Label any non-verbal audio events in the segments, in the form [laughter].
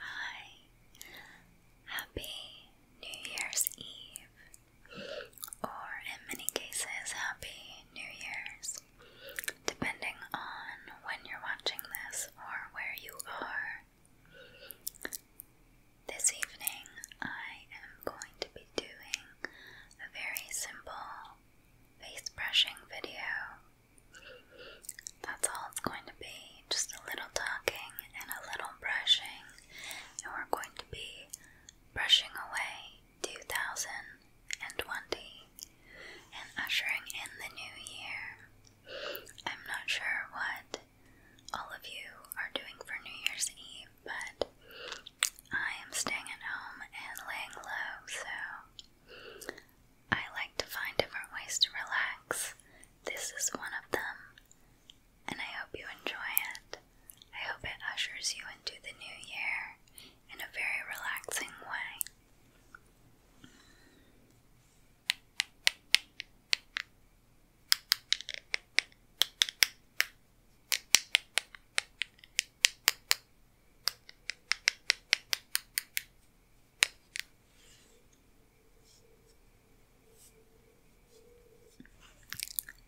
Hi, happy New Year's Eve, or in many cases, happy New Year's, depending on when you're watching this or where you are. This evening, I am going to be doing a very simple face brushing video. That's all it's going to be just a little talking and a little brushing, and we're going to be brushing away 2020 and ushering in the new year. I'm not sure what all of you are doing for New Year's Eve, but I am staying at home and laying low, so I like to find different ways to relax. This is one of them, and I hope you enjoy it. I hope it ushers you into the new year in a very relaxing way.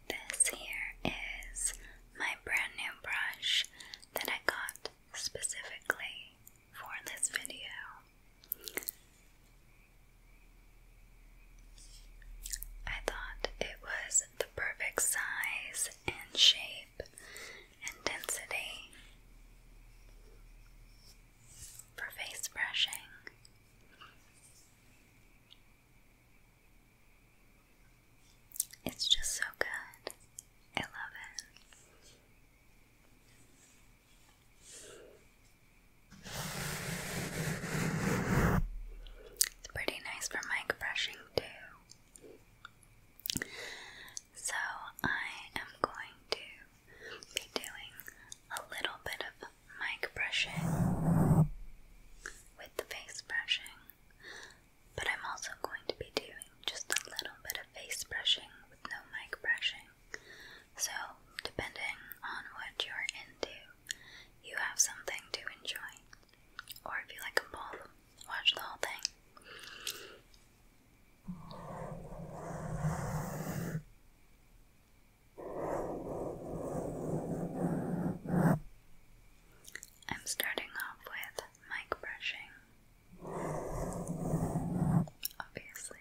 This here is my brand new brush that I got specifically for this video. I thought it was the perfect size and shape and density for face brushing. It's just so good. I love it. It's pretty nice for mic brushing too. So, I am going to be doing a little bit of mic brushing with the face brushing, but I'm also going to be doing just a little bit of face brushing with no mic brushing. So, depending on what you're into, you have something to enjoy. Or if you like a ball, watch the whole thing. I'm starting off with mic brushing, obviously.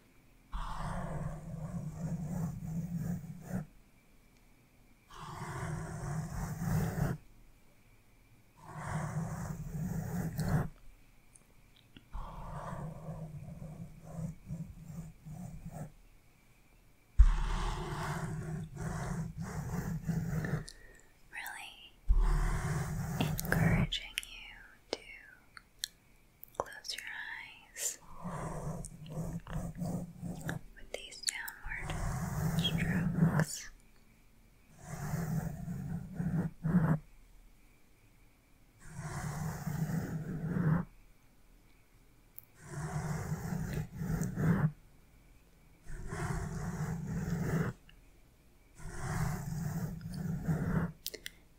Really encouraging you to Close your eyes with these downward strokes.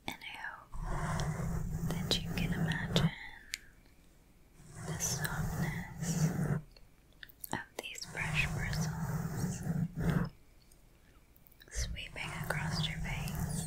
And I hope that you can imagine the softness of these brush bristles sweeping across your face.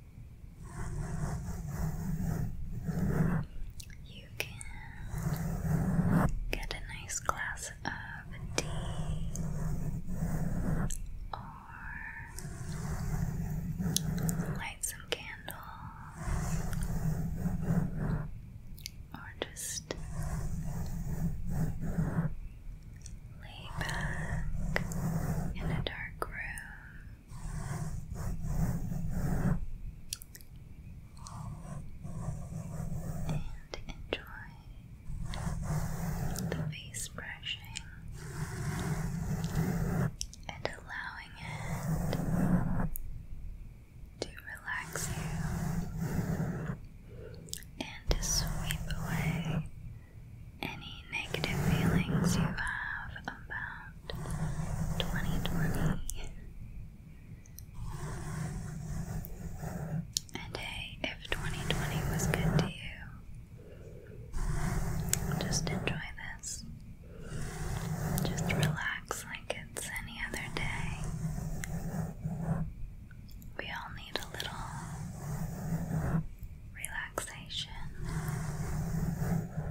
You can get a nice glass of tea or light some candles or just lay back in a dark room and enjoy the face brushing and allowing it to relax you and to sweep away any negative feelings you have about 2020. And hey, if 2020 was good to you, just enjoy this. Just relax like it's any other day. We all need a little relaxation.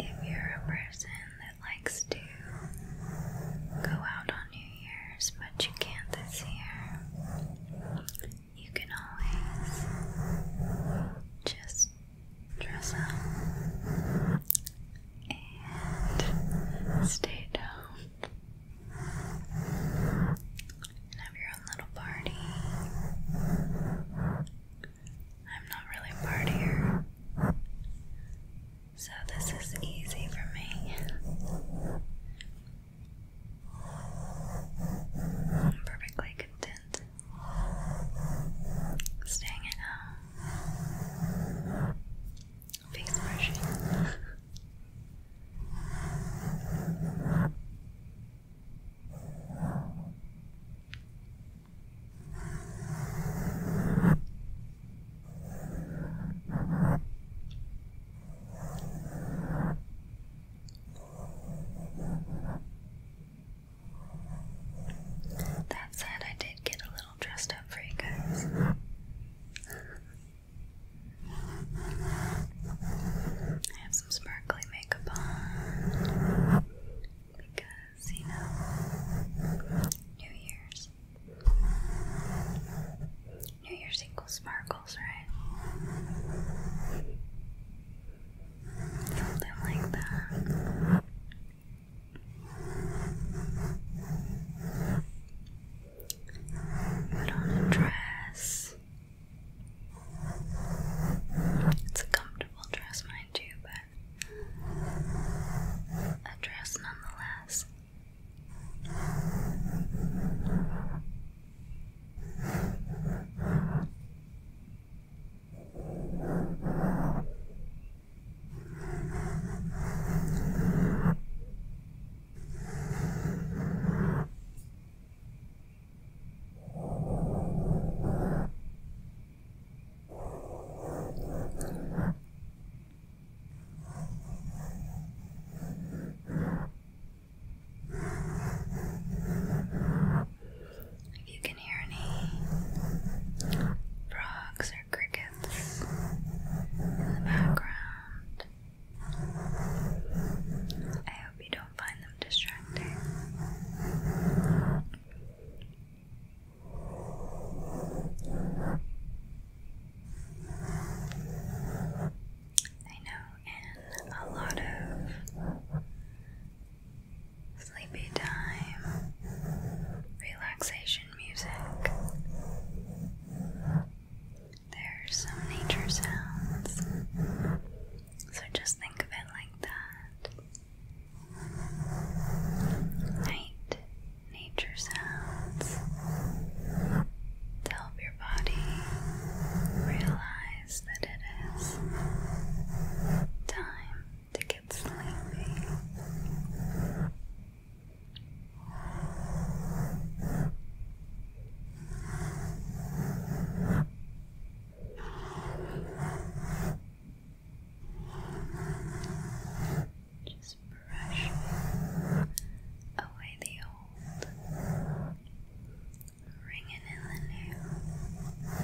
If you're a person likes to go out on New Year's, but you can't this year, you can always just dress up and stay at and have your own little party. I'm not really a partier. So this is easy for me. perfectly content staying at home, face brushing. That said, I did get a little dressed up for you guys. I have some sparkly makeup on because, you know, New Year's. New Year's single sparkles, right? Something like that. Put on a dress. It's a comfortable dress, mind you, but with a dress nonetheless. If you can hear any frogs or crickets in the background, I hope you don't find them distracting. I know in a lot of sleepy time relaxation music, there's some nature sounds. So just think of it like that. Night nature sounds to help your body realize that it is time to get sleepy. Just brush away the old, ringing in the new.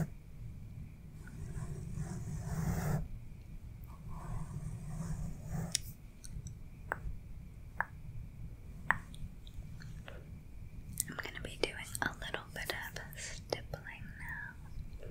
I'm going to be doing a little bit of stippling now.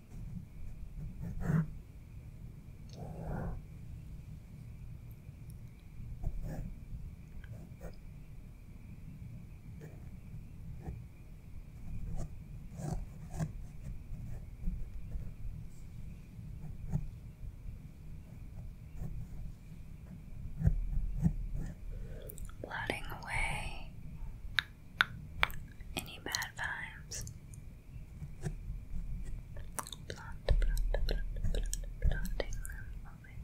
Floating away any bad vibes? Blunt, blunt, blunt, blunt, blunting them away.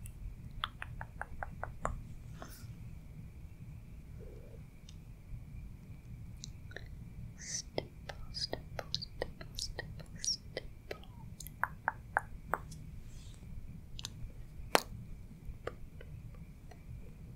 Stipple, stipple, stipple, stipple, stipple. Boop, boop, boop, boop,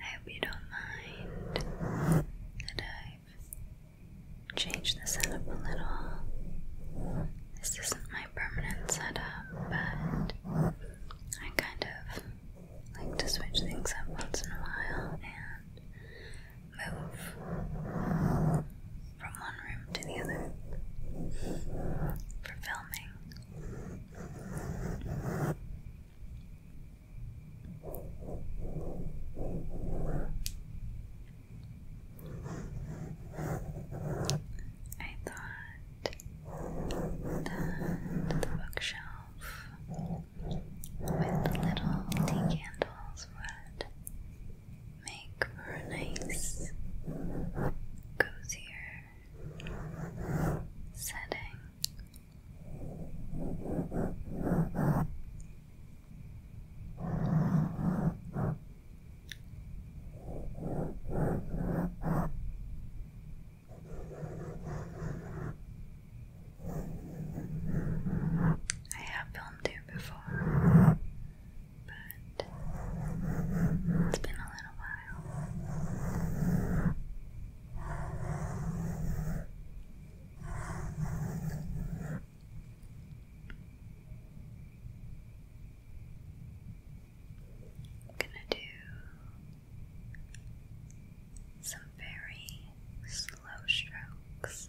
I hope you don't mind that I've changed the setup a little. This isn't my permanent setup, but I kind of like to switch things up once in a while and move from one room to the other for filming. I thought the bookshelf with little tea candles would make for a nice, cozier setting I have filmed here before, but it's been a little while. I'm gonna do some very slow strokes.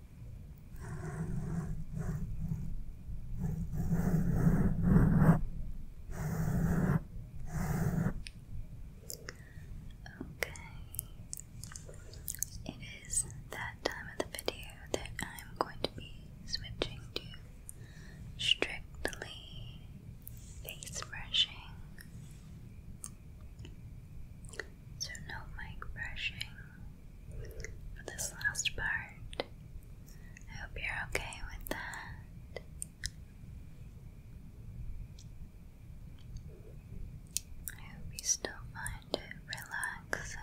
Okay. It is that time of the video that I'm going to be switching to strictly face brushing. So, no mic brushing, for this last part. I hope you're okay with that. I hope you still find it relaxing.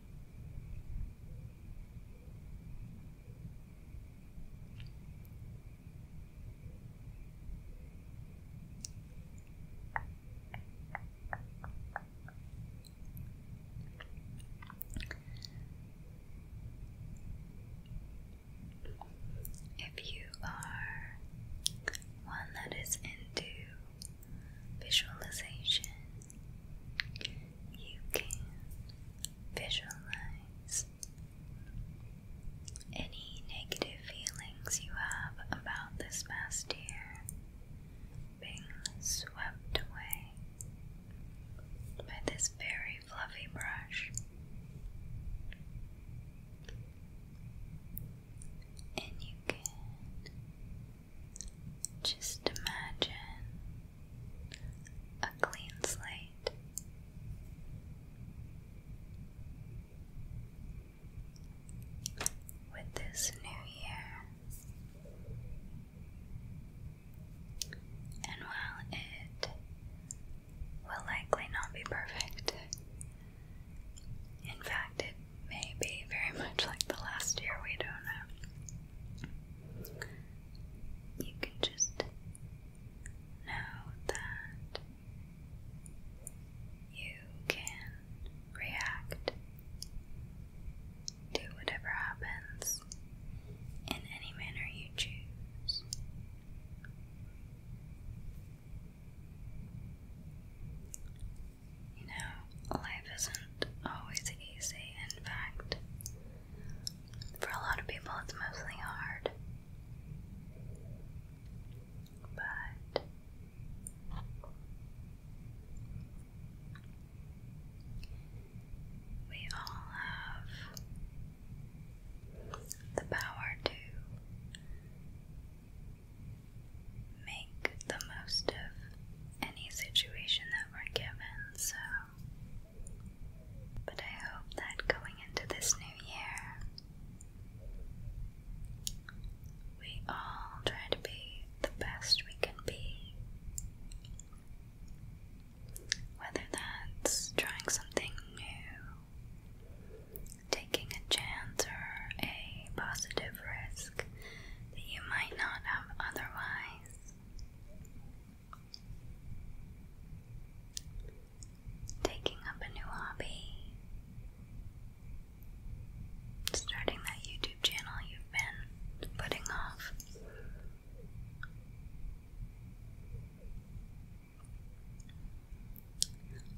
If you are one that is into visualization. You can visualize any negative feelings you have about this past year being swept away by this very fluffy brush. And you can just imagine a clean slate. With this new year, and while it will likely not be perfect, in fact, Maybe very much like the last year, we don't know. You can just know that you can react to whatever happens in any manner you choose. You know, life isn't always easy. In fact, for a lot of people, it's mostly hard. But we all have the power to make the most of any situation that we're given, so. But I hope that going into this new year, we all try to be the best we can be. Whether that's trying something new, taking a chance, or a positive risk risk that you might not have otherwise. Taking up a new hobby, starting that YouTube channel you've been putting off.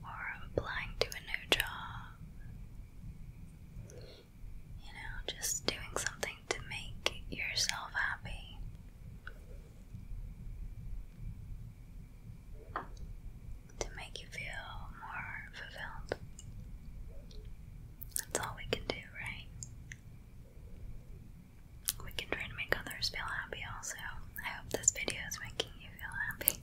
Or applying to a new job, you know, just doing something to make yourself happy. To make you feel more fulfilled. That's all we can do, right? We can try to make others feel happy also. I hope this video is making you feel happy.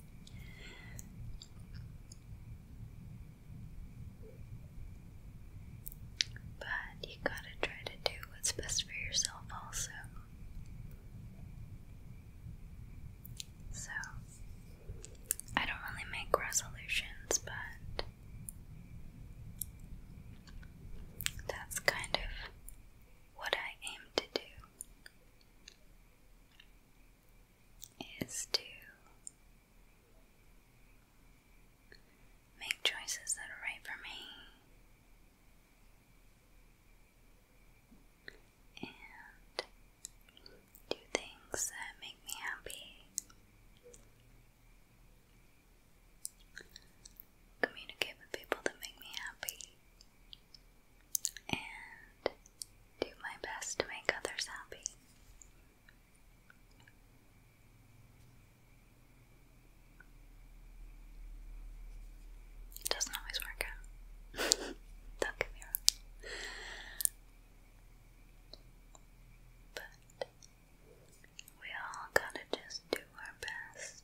But you gotta try to do what's best for yourself, also. So, I don't really make resolutions, but that's kind of what I aim to do is to make choices that are right for me and do things that make me happy. Communicate with people that make me happy and do my best to make others happy. It doesn't always work out. [laughs] Don't get me But we all gotta just do our best.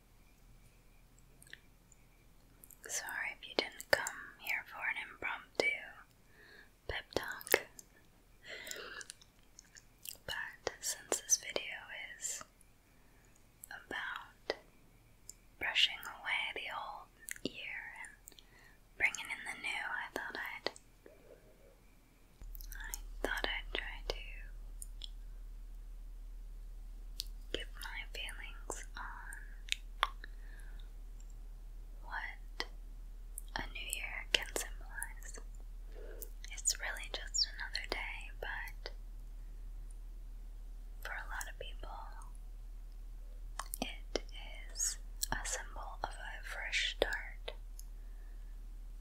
Sorry if you didn't come here for an impromptu pep talk. But since this video is about brushing away the old year and bringing in the new, I thought I'd I thought I'd try to give my feelings on what a new year can symbolize. It's really just another day, but for a lot of people, it is a symbol of a fresh start.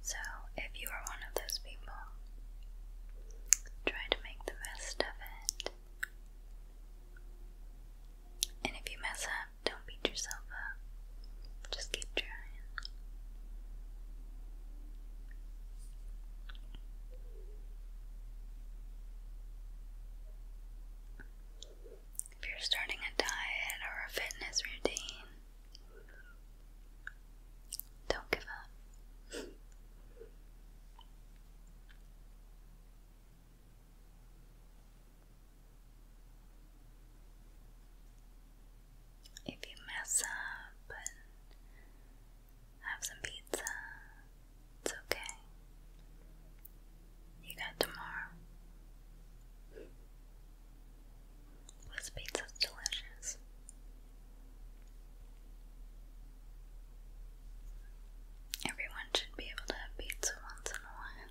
So, if you are one of those people Try to make the best of it. And if you mess up, don't beat yourself up. Just keep trying. If you're starting a diet or a fitness routine, don't give up. if you mess up and have some pizza, it's okay. You got tomorrow. This pizza's delicious. Everyone should be able to have pizza once in a while.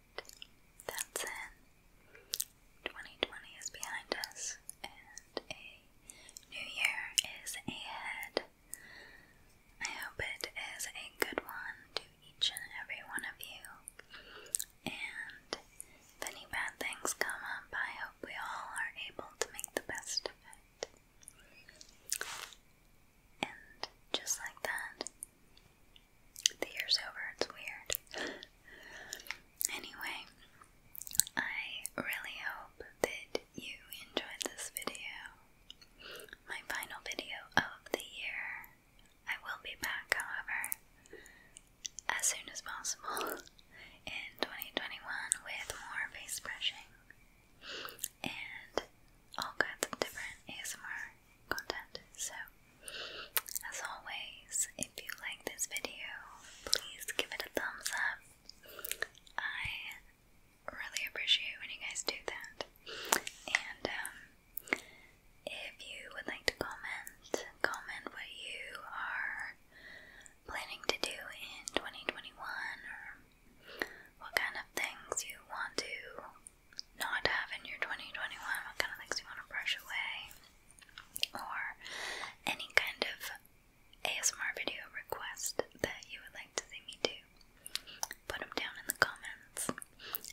that's it. 2020 is behind us, and a new year is ahead. I hope it is a good one to each and every one of you. And if any bad things come up, I hope we all are able to make the best of it. And just like that, the year's over, it's weird. [laughs] anyway, I really hope that you enjoyed this video. My final video of the year. I will be back, however, as soon as possible [laughs] in 2021 with more face brushing and all kinds of different ASMR content. So, as always, if you like this video, please give it a thumbs up. I really appreciate when you guys do that. And um, if you would like to comment, comment what you are planning to do in 2021 or what kind of things you want to not have in your 2021? What kind of things you want to brush away? Or any kind of ASMR video request that you would like to see me do? Put them down in the comments.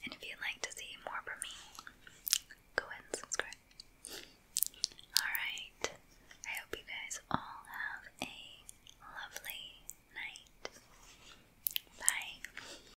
And if you'd like to see more from me, go ahead and subscribe. Alright, I hope you guys all have a lovely night. Bye.